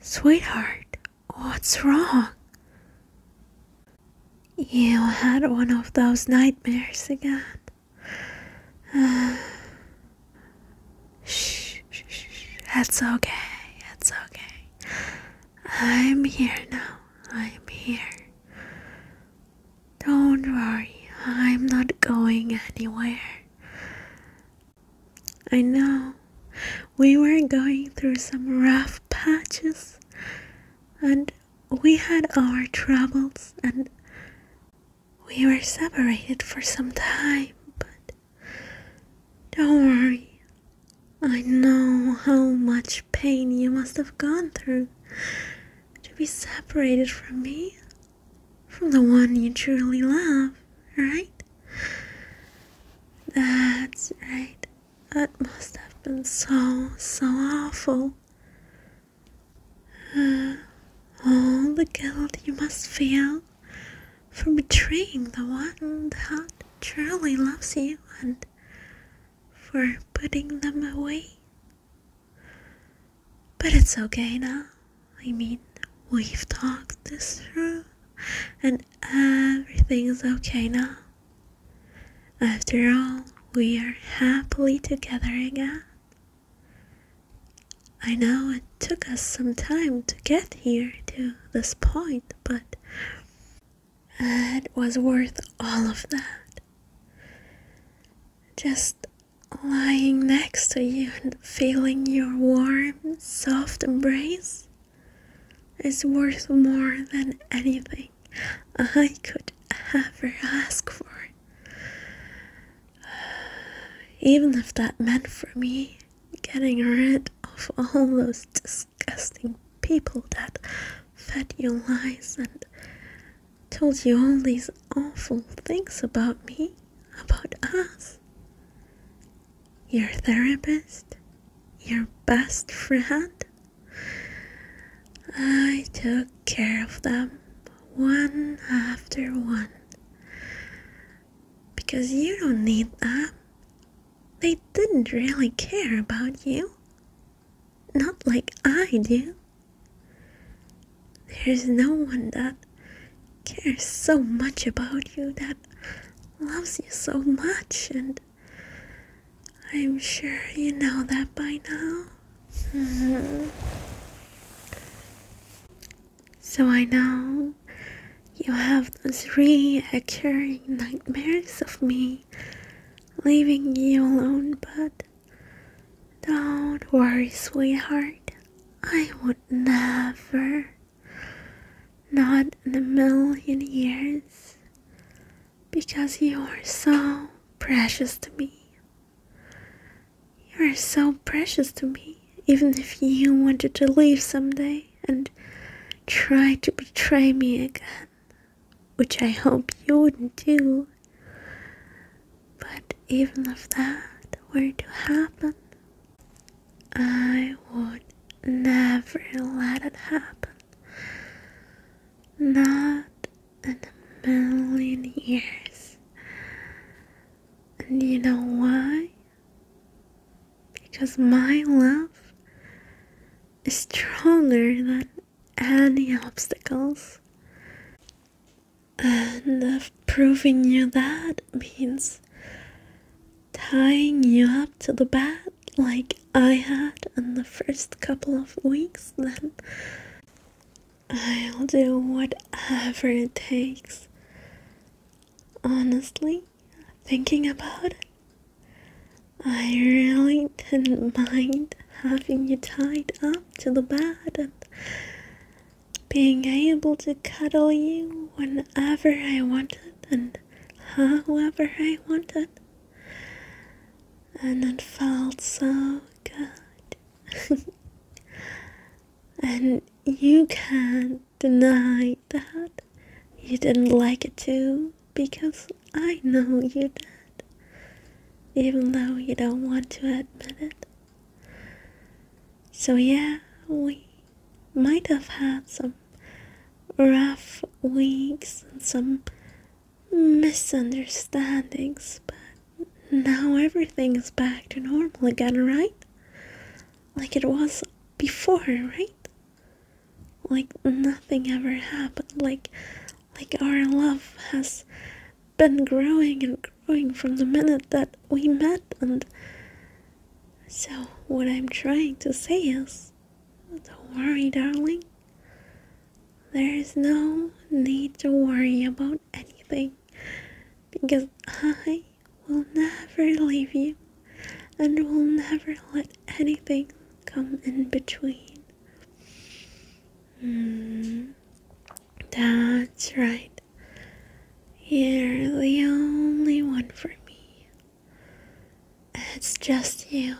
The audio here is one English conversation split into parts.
Sweetheart, what's wrong? You had one of those nightmares again. shh, shh, shh, that's okay, that's okay. I'm here now, I'm here. Don't worry, I'm not going anywhere. I know we were going through some rough patches and we had our troubles and we were separated for some time, but don't worry. I know how much pain you must have gone through to be separated from me from the one you truly love, right? That's right. That must have been so, so awful. Uh, all the guilt you must feel for betraying the one that truly loves you and for putting them away. But it's okay now. I mean, we've talked this through, and everything's okay now. After all, we are happily together again. I know it took us some time to get here to this point, but it was worth all of that. Just lying next to you and feeling your warm, soft embrace is worth more than anything I could ever ask for. Even if that meant for me getting rid of all those disgusting people that fed you lies and told you all these awful things about me about us. Your therapist, your best friend. I took care of them one after one because you don't need them. They didn't really care about you. Not like I do. There's no one that cares so much about you, that loves you so much, and I'm sure you know that by now. Mm-hmm. So I know you have those reoccurring nightmares of me leaving you alone, but don't worry, sweetheart. I would never, not in a million years, because you are so precious to me. You are so precious to me, even if you wanted to leave someday and try to betray me again, which I hope you wouldn't do. But even if that were to happen, I would never let it happen. Not in a million years. And you know why? Because my love is stronger than any obstacles. And proving you that means tying you up to the bed like I had in the first couple of weeks, then I'll do whatever it takes. Honestly, thinking about it, I really didn't mind having you tied up to the bed and being able to cuddle you whenever I wanted and however I wanted. And it felt so good. and you can't deny that you didn't like it too because I know you did even though you don't want to admit it. So, yeah, we might have had some rough weeks and some misunderstandings, but now everything is back to normal again, right? Like it was before, right? Like nothing ever happened, like like our love has been growing and growing from the minute that we met and so what i'm trying to say is don't worry darling there is no need to worry about anything because i will never leave you and will never let anything come in between Mm, that's right. You're the only one for me. It's just you.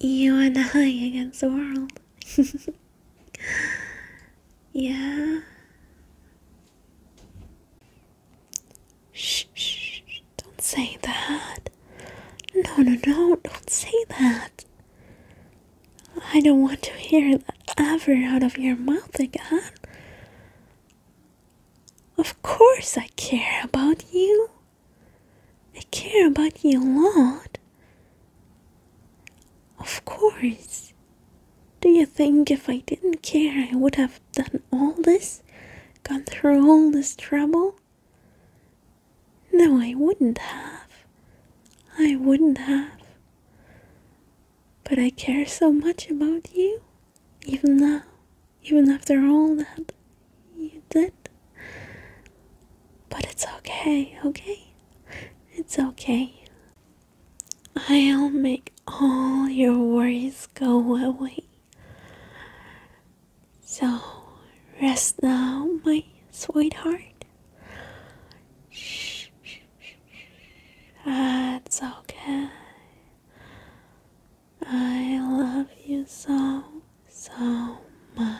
You and I against the world. yeah. shh. Don't say that. No, no, no, don't say that. I don't want to hear that ever out of your mouth again. Of course, I care about you. I care about you a lot. Of course. Do you think if I didn't care, I would have done all this? Gone through all this trouble? No, I wouldn't have. I wouldn't have. But I care so much about you, even now, even after all that you did. But it's okay, okay? It's okay. I'll make all your worries go away. So rest now, my sweetheart. Shh, shh, shh, That's okay. I love you so, so much.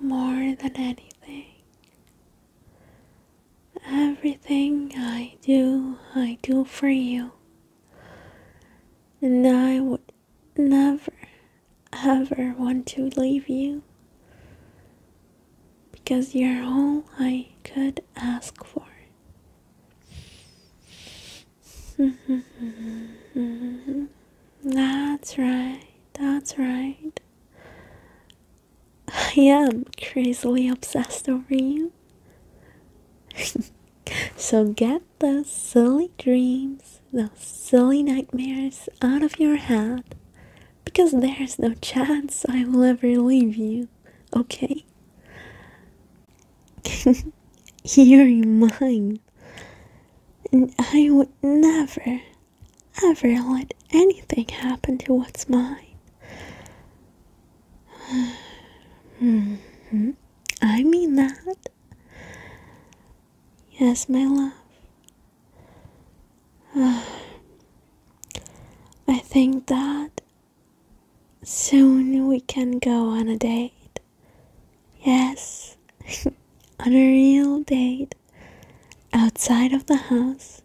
More than anything. Everything I do, I do for you. And I would never, ever want to leave you because you're all I could ask for. that's right, that's right. I am crazily obsessed over you. so get those silly dreams, those silly nightmares out of your head because there's no chance I will ever leave you, okay? You're mine, and I would never, ever let anything happen to what's mine. -hmm. I mean that. Yes, my love. I think that soon we can go on a date. Yes, on a real date outside of the house.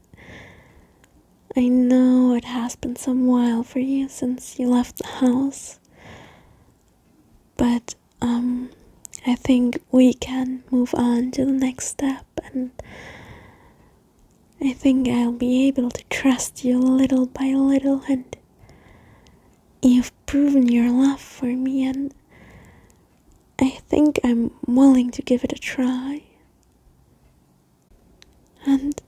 I know it has been some while for you since you left the house. But um I think we can move on to the next step and I think I'll be able to trust you little by little and you've proven your love for me and I think I'm willing to give it a try. And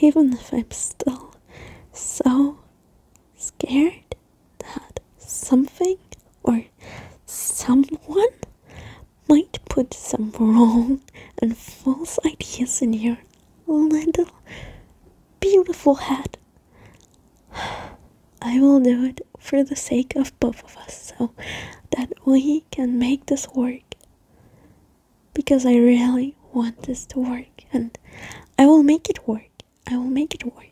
even if I'm still so scared that something or someone might put some wrong and false ideas in your little beautiful head, I will do it for the sake of both of us so that we can make this work because I really want this to work and I will make it work. I will make it work.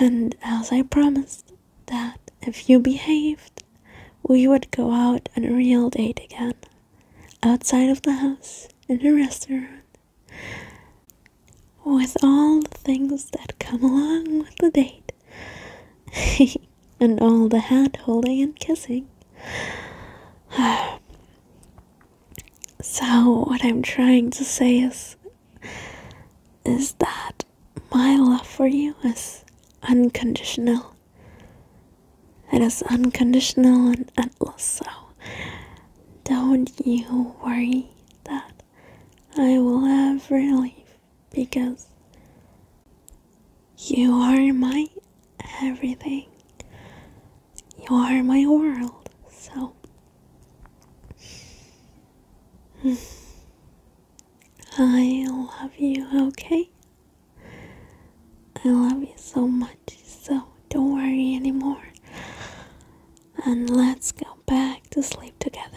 And as I promised, that if you behaved, we would go out on a real date again, outside of the house, in a restaurant, with all the things that come along with the date. and all the hand holding and kissing. so, what I'm trying to say is, is that my love for you is unconditional. It is unconditional and endless, so don't you worry that I will ever leave because you are my everything. You are my world. So I love you, okay? I love you so much, so don't worry anymore. And let's go back to sleep together.